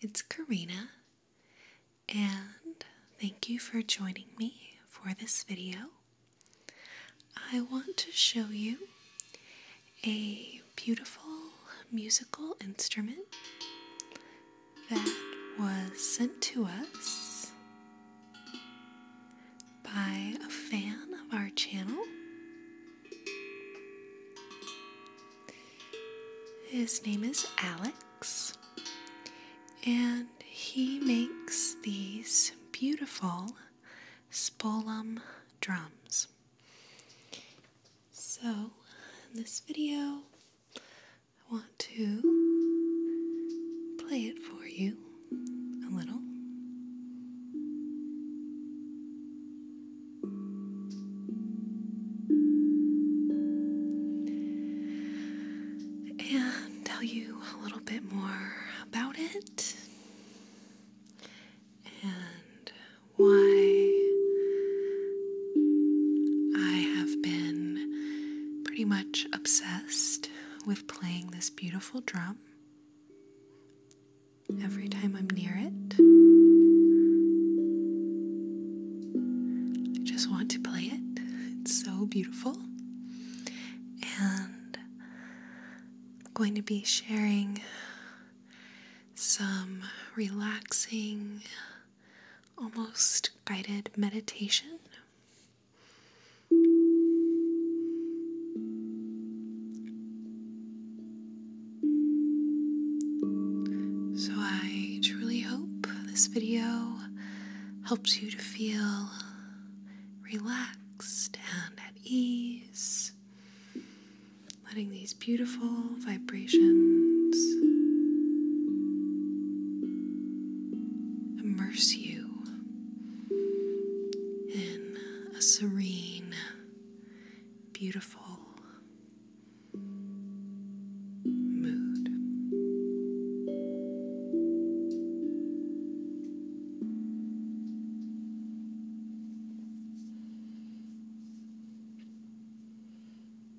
It's Karina, and thank you for joining me for this video. I want to show you a beautiful musical instrument that was sent to us by a fan of our channel. His name is Alex, and he makes these beautiful spolum drums. So, in this video, I want to play it for you a little. And tell you a little bit more about it and why I have been pretty much obsessed with playing this beautiful drum. Every time I'm near it, I just want to play it. It's so beautiful. And going to be sharing some relaxing, almost guided meditation so I truly hope this video helps you to feel relaxed and at ease, letting these beautiful vibrations immerse you in a serene, beautiful mood.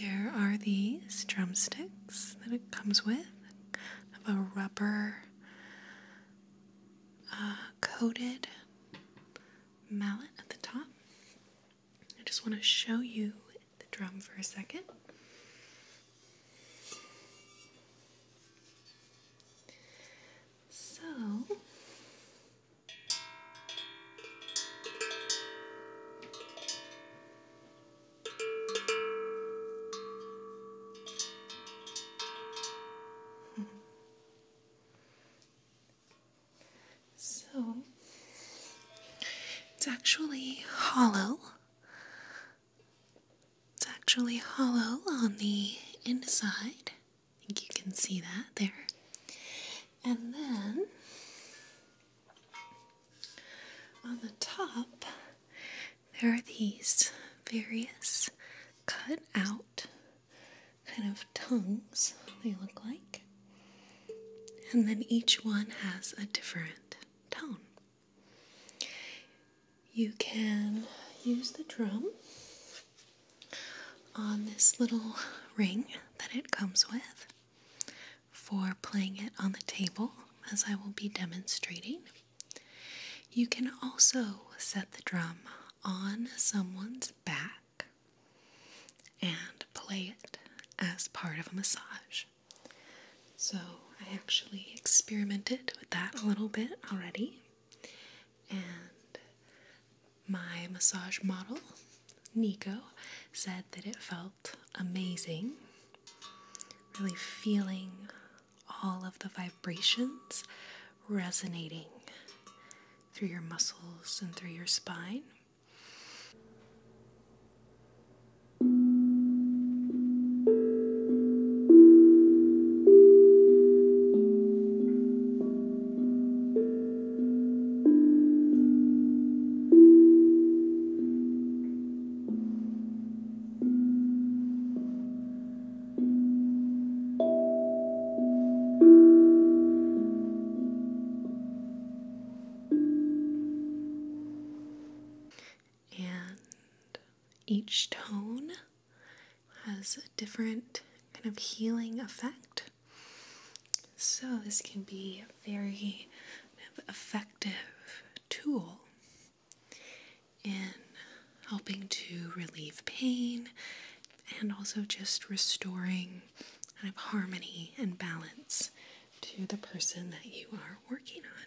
there are these drumsticks that it comes with, have a rubber uh, coated mallet at the top. I just want to show you the drum for a second. So, so it's actually hollow. It's actually hollow on the inside. I think you can see that there. And then on the top, there are these various cut out kind of tongues, they look like. And then each one has a different tone. You can use the drum on this little ring that it comes with for playing it on the table, as I will be demonstrating. You can also set the drum on someone's back and play it as part of a massage. So, I actually experimented with that a little bit already, and my massage model, Nico, said that it felt amazing. Really feeling all of the vibrations resonating through your muscles and through your spine. And each tone has different kind of healing effect. So, this can be a very effective tool in helping to relieve pain and also just restoring kind of harmony and balance to the person that you are working on.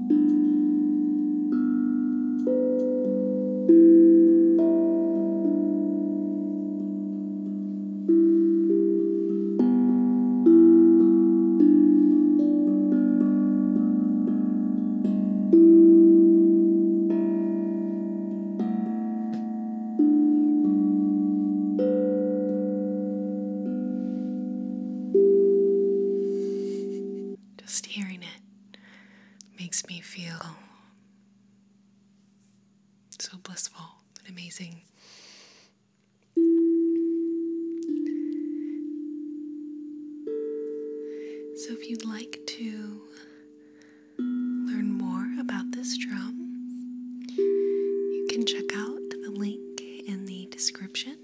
Just hearing it makes me feel so blissful and amazing. So, if you'd like to learn more about this drum, you can check out the link in the description.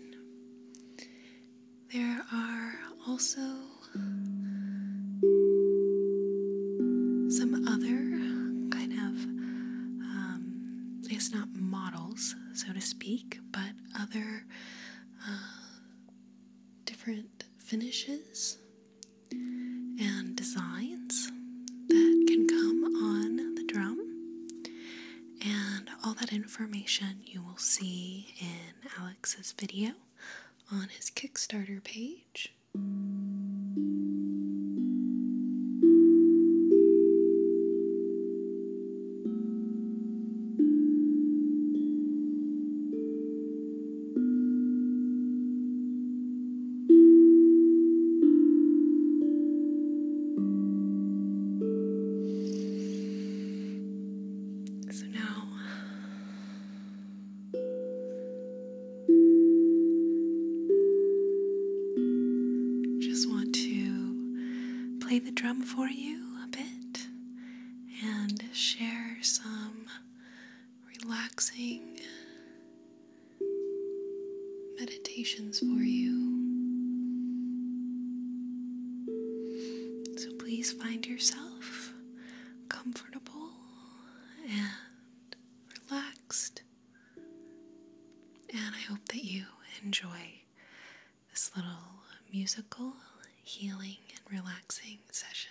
There are also some other kind of, um, it's not models, so to speak, but other uh, different finishes and designs that can come on the drum. And all that information you will see in Alex's video on his Kickstarter page. So now just want to play the drum for you a bit and share some relaxing meditations for you. So please find yourself comfortable and relaxed. And I hope that you enjoy this little musical, healing, and relaxing session.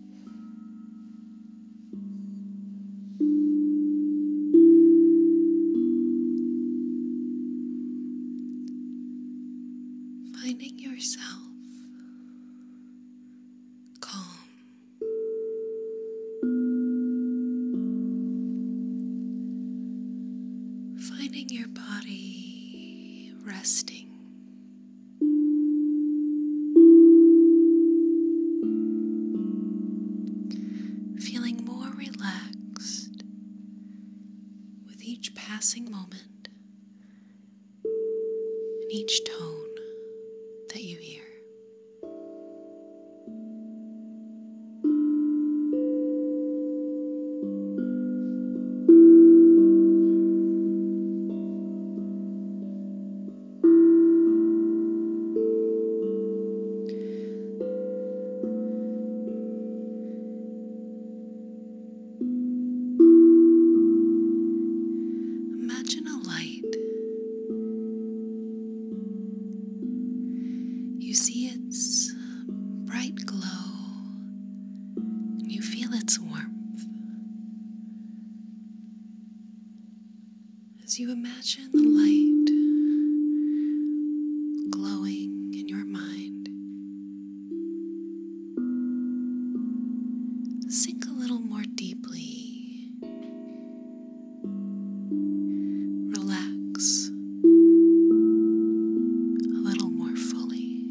Finding yourself calm. Finding your body resting Feeling more relaxed with each passing moment and each tone that you hear. Imagine a light. You see its bright glow, you feel its warmth. As you imagine the light glowing in your mind, sink a little more deeply. Relax a little more fully.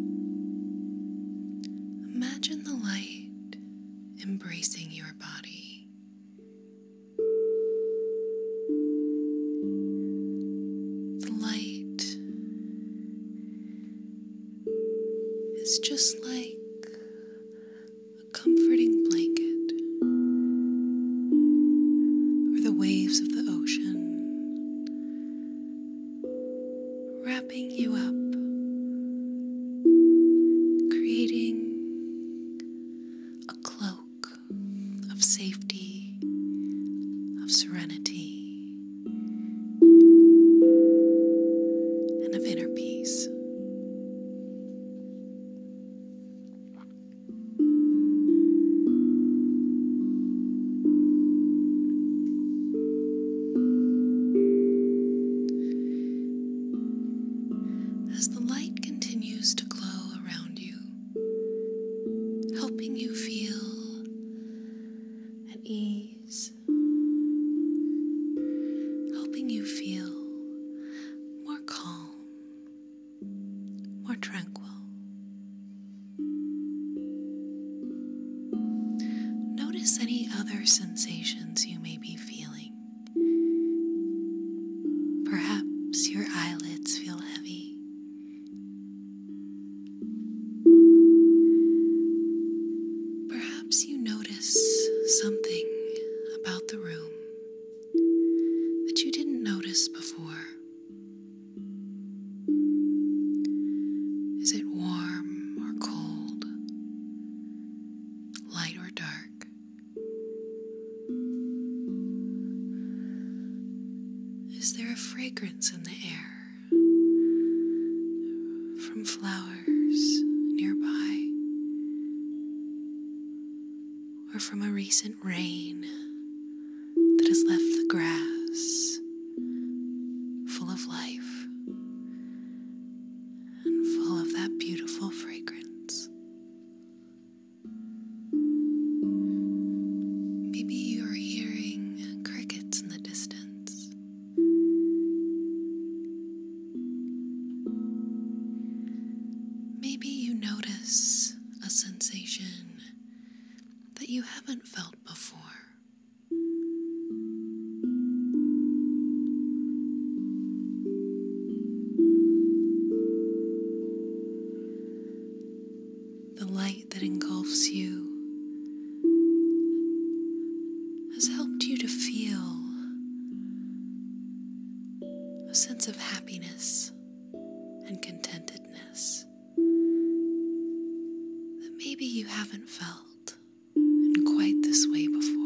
Imagine the light embracing your body. The light is just like a comforting blanket or the waves of the ocean wrapping you up, creating a cloak of safety, of serenity, and of inner peace. As the light continues to glow around you, helping you feel at ease, helping you feel more calm more tranquil. Notice any other sensations you may be feeling. Perhaps your eyelids feel heavy. Perhaps you notice something about the room that you didn't notice before. Is it warm or cold? Light or dark? Is there a fragrance in the air from flowers nearby or from a recent rain that has left the grass full of life and full of that beautiful fragrance. Maybe you are hearing crickets in the distance. Maybe you notice a sensation that you haven't felt before. The light that engulfs you has helped you to feel a sense of happiness and contentedness that maybe you haven't felt in quite this way before.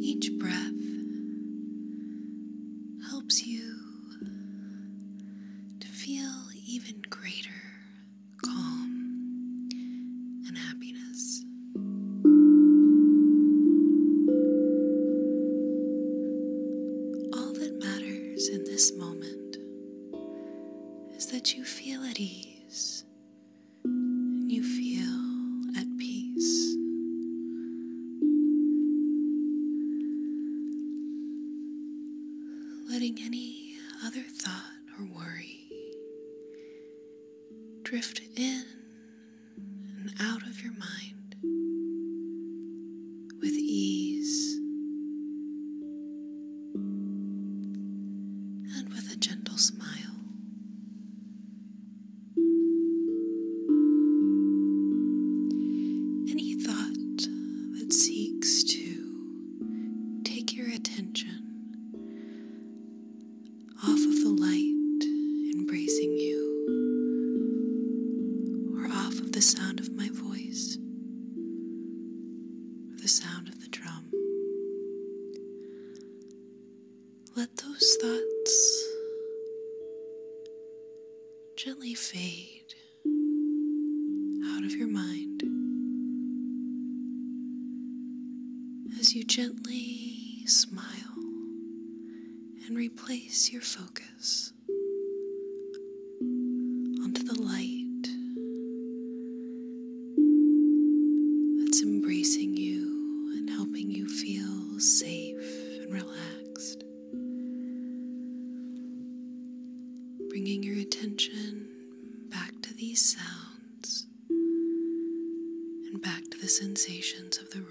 Each breath helps you to feel even greater calm and happiness. All that matters in this moment is that you feel at ease you feel at peace. Letting any other thought or worry drift in and out of your mind with ease and with a gentle smile. Any thought that seeks to take your attention off of the light embracing you or off of the sound of my voice or the sound of the drum. Let those thoughts gently fade out of your mind as you gently smile and replace your focus onto the light that's embracing you and helping you feel safe and relaxed. Bringing your attention back to these sounds and back to the sensations of the room.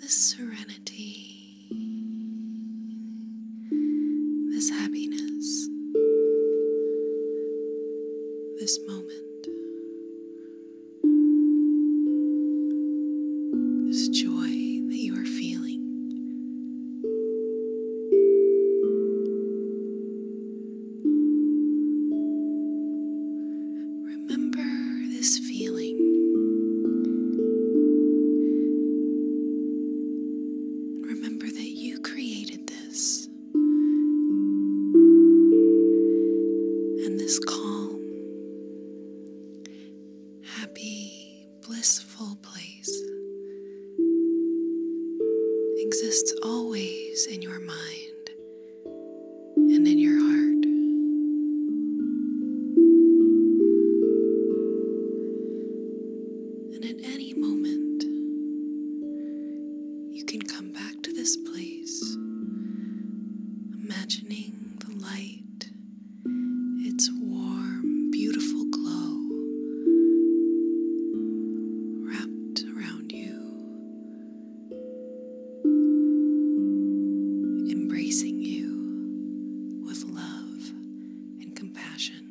This serenity, this happiness, this moment, this joy that you are feeling. Remember this feeling. Remember that you created this. And this calm, happy, blissful place exists always in your mind and in your heart. And at any moment, you can come back to this place, imagining the light, its warm, beautiful glow. Wrapped around you, embracing you with love and compassion.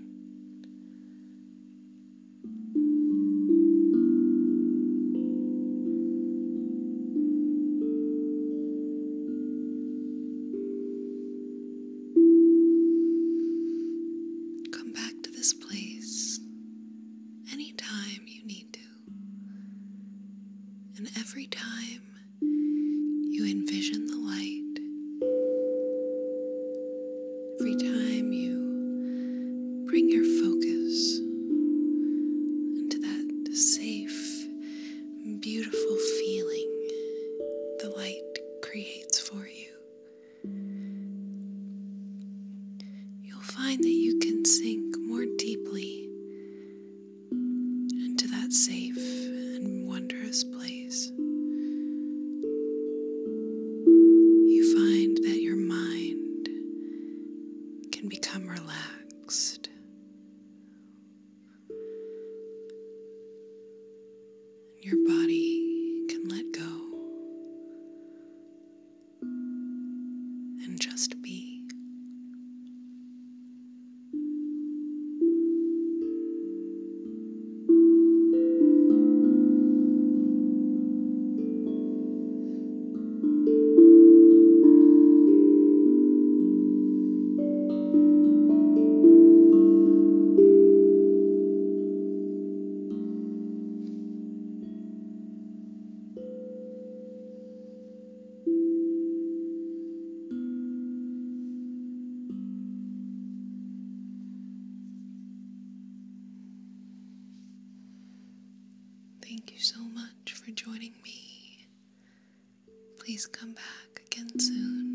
Come back to this this any time you need to. And every time you envision the light, every time you bring your focus into that safe, beautiful feeling the light creates for you you'll find that you can sink more deeply into that safe and wondrous place. You find that your mind can become relaxed. Your body can let go and just be. Thank you so much for joining me. Please come back again soon.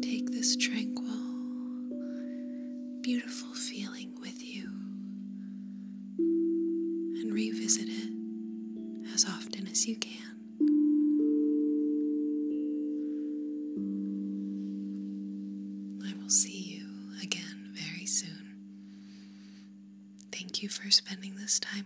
Take this tranquil, beautiful feeling with you and revisit it as often as you can. I will see you you again very soon. Thank for spending this time